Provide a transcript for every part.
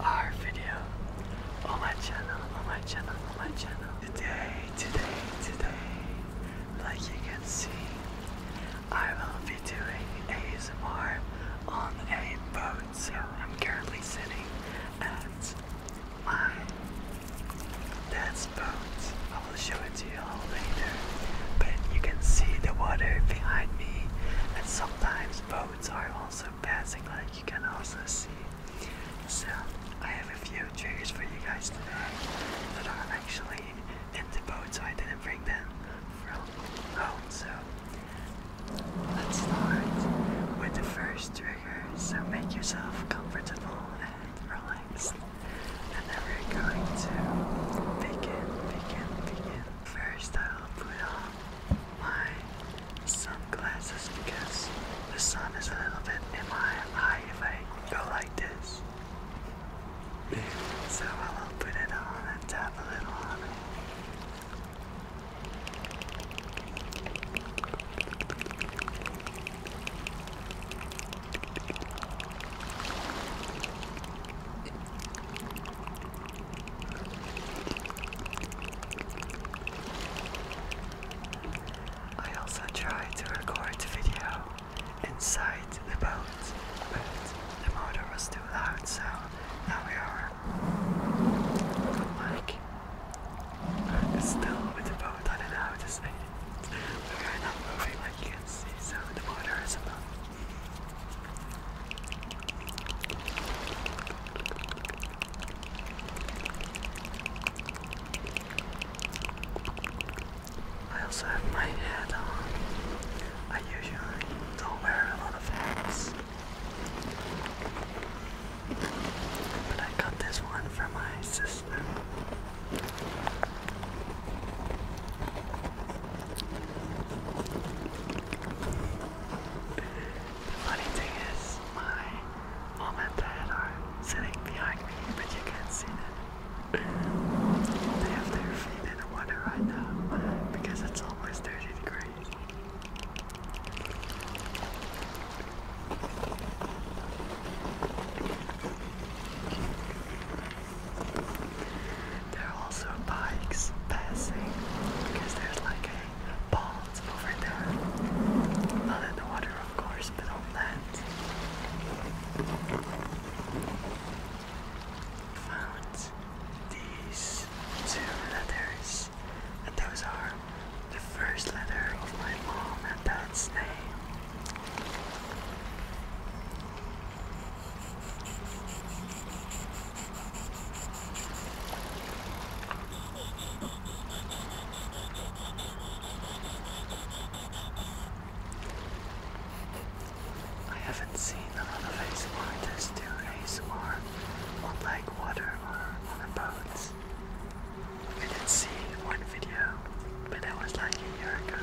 our video on my channel, on my channel, on my channel. Today, today, today, like you can see, I will be doing ASMR on a boat. So I'm currently sitting at my dad's boat. I will show it to you all later. But you can see the water behind me and sometimes boats are also passing like you can also see so I have a few triggers for you guys today that are actually in the boat, so I didn't bring them from home. So let's start with the first trigger. So make yourself comfortable and relaxed. And we're going to begin, begin, begin. First, I'll my sunglasses because the sun is a little bit in my eye if I go like this. So I will put it on and tap a little I also tried to record the video inside the boat, but the motor was too loud, so now we are on mic. still with the boat, I don't to say We are not moving like you can see, so the motor is above. I also have my hat on. I usually don't wear a lot of hats. But I got this one for my sister. The funny thing is, my mom and dad are sitting behind me, but you can't see them. They have their feet in the water right now because it's almost 30 degrees. There are also bikes passing because there's like a pond over there. Not in the water, of course, but on land. Found these two letters, and those are the first letter of my mom and dad's name. I haven't seen a lot of ASMR artists do ASMR on like water or on a boat. I did see one video, but that was like a year ago.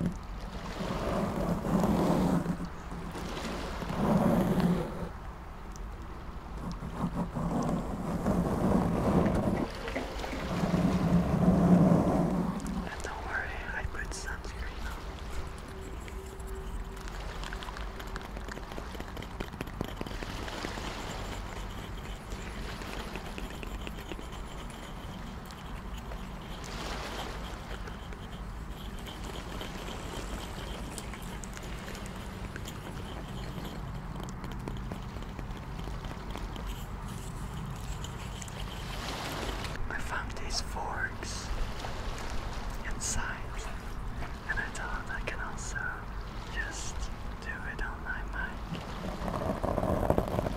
And don't worry, I put sunscreen on. I found these forks inside, and I thought I can also just do it on my mind.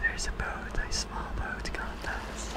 There's a boat, a small boat contest.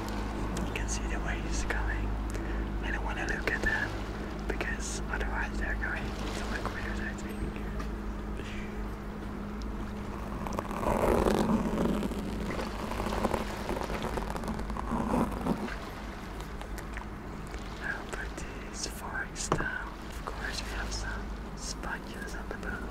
You can see the waves coming. I don't want to look at them because otherwise they're going to look weird, I think. I'll put these forks down. Of course, we have some sponges on the boat.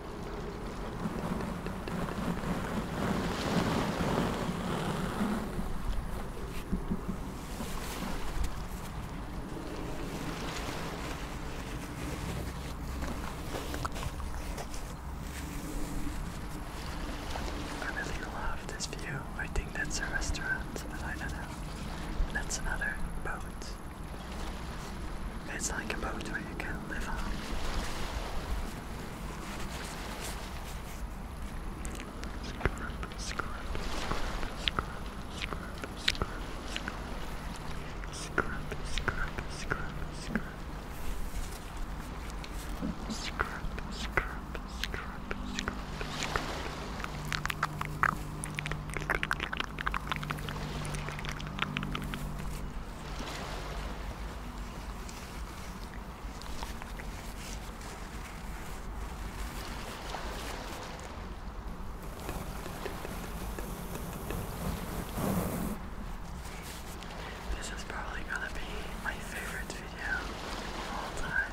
I really love this view. I think that's a restaurant, but I don't know. That's another boat. It's like a boat where you can live on. Scrub, scrub, scrub, scrub, scrub, scrub, scrub, scrub, scrub. Scrub, scrub, scrub, scrub, scrub. This is probably going to be my favorite video of all time.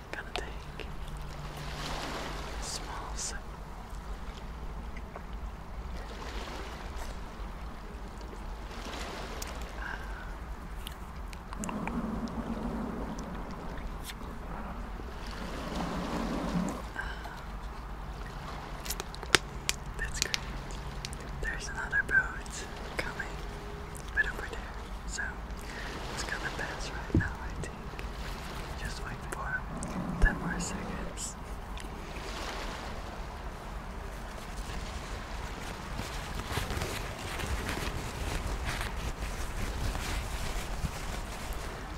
gonna take a small sip. Ah. that's great. There's another boat coming right over there. So it's gonna pass right now, I think. Just wait for 10 more seconds.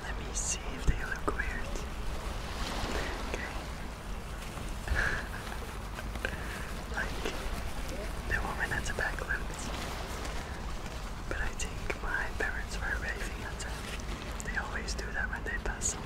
Let me see if they look weird. Okay. like the woman at the back but I think my parents were raving at them. They always do that when they pass someone.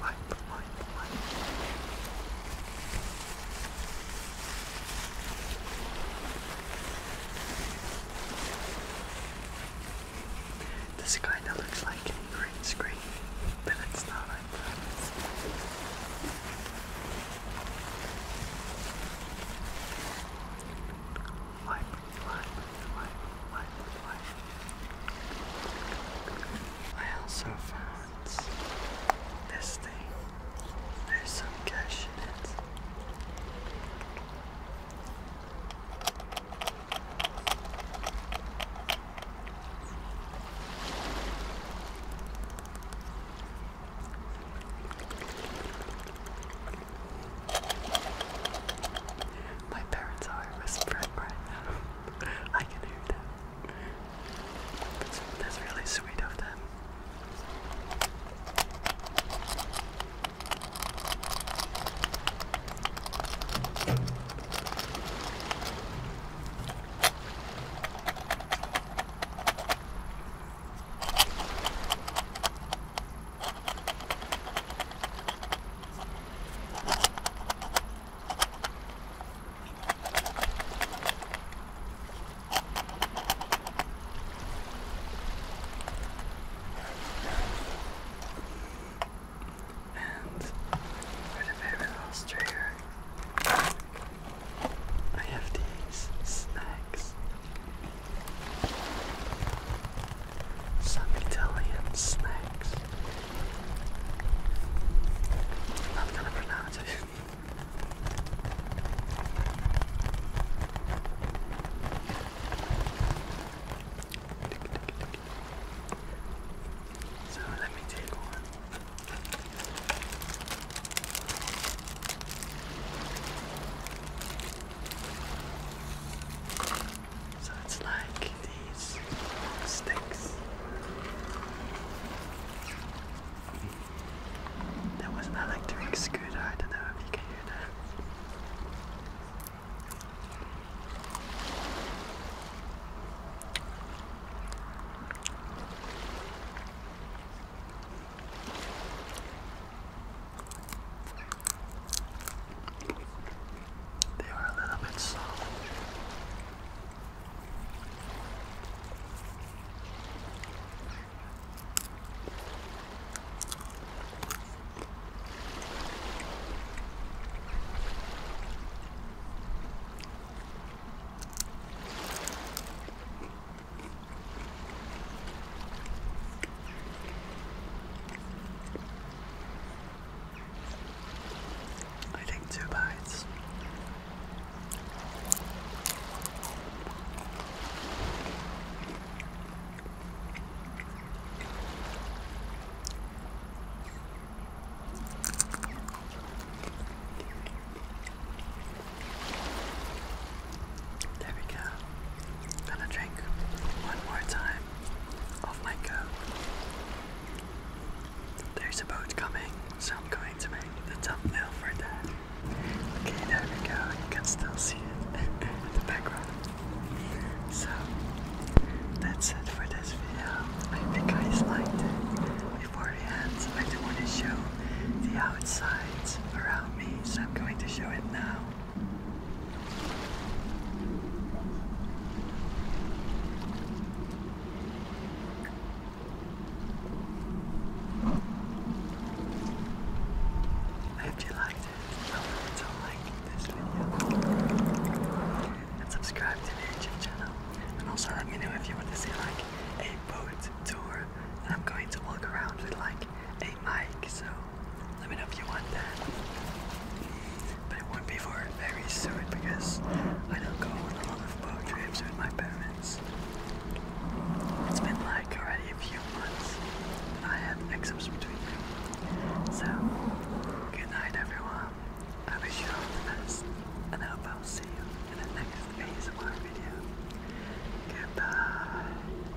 life, life, life, life. This kinda looks like a green screen, but it's not, I promise. Life, life, life, life, life. I also found this thing. There's some cash in it. My parents are whispering right now. I can hear them. that's really sweet of them. And for the very last I have these snacks some Italian snacks. I'm gonna pronounce it. So let me take one. So it's like these sticks. There was an electric scooter, I don't know if you can hear that. They are a little bit soft. I think two bites. There we go. Gonna drink one more time of my coke. There's a boat coming, so I'm going to make the thumbnail for that. Okay, there we go. You can still see it in the background. So that's it for this video. I hope you liked it. Before we end, I do want to show the outsides around me, so I'm going to show it now. I hope you liked it. Tell me like this video. And subscribe to the YouTube channel. And also let me know if you want to see like a boat tour. I'm going to walk around with like a mic, so let me know if you want that. But it won't be for very soon because I don't go on a lot of boat trips with my parents. It's been like already a few months and I had exams between them. So, good night everyone. I wish you all the best and I hope I'll see you in the next ASMR video. Goodbye.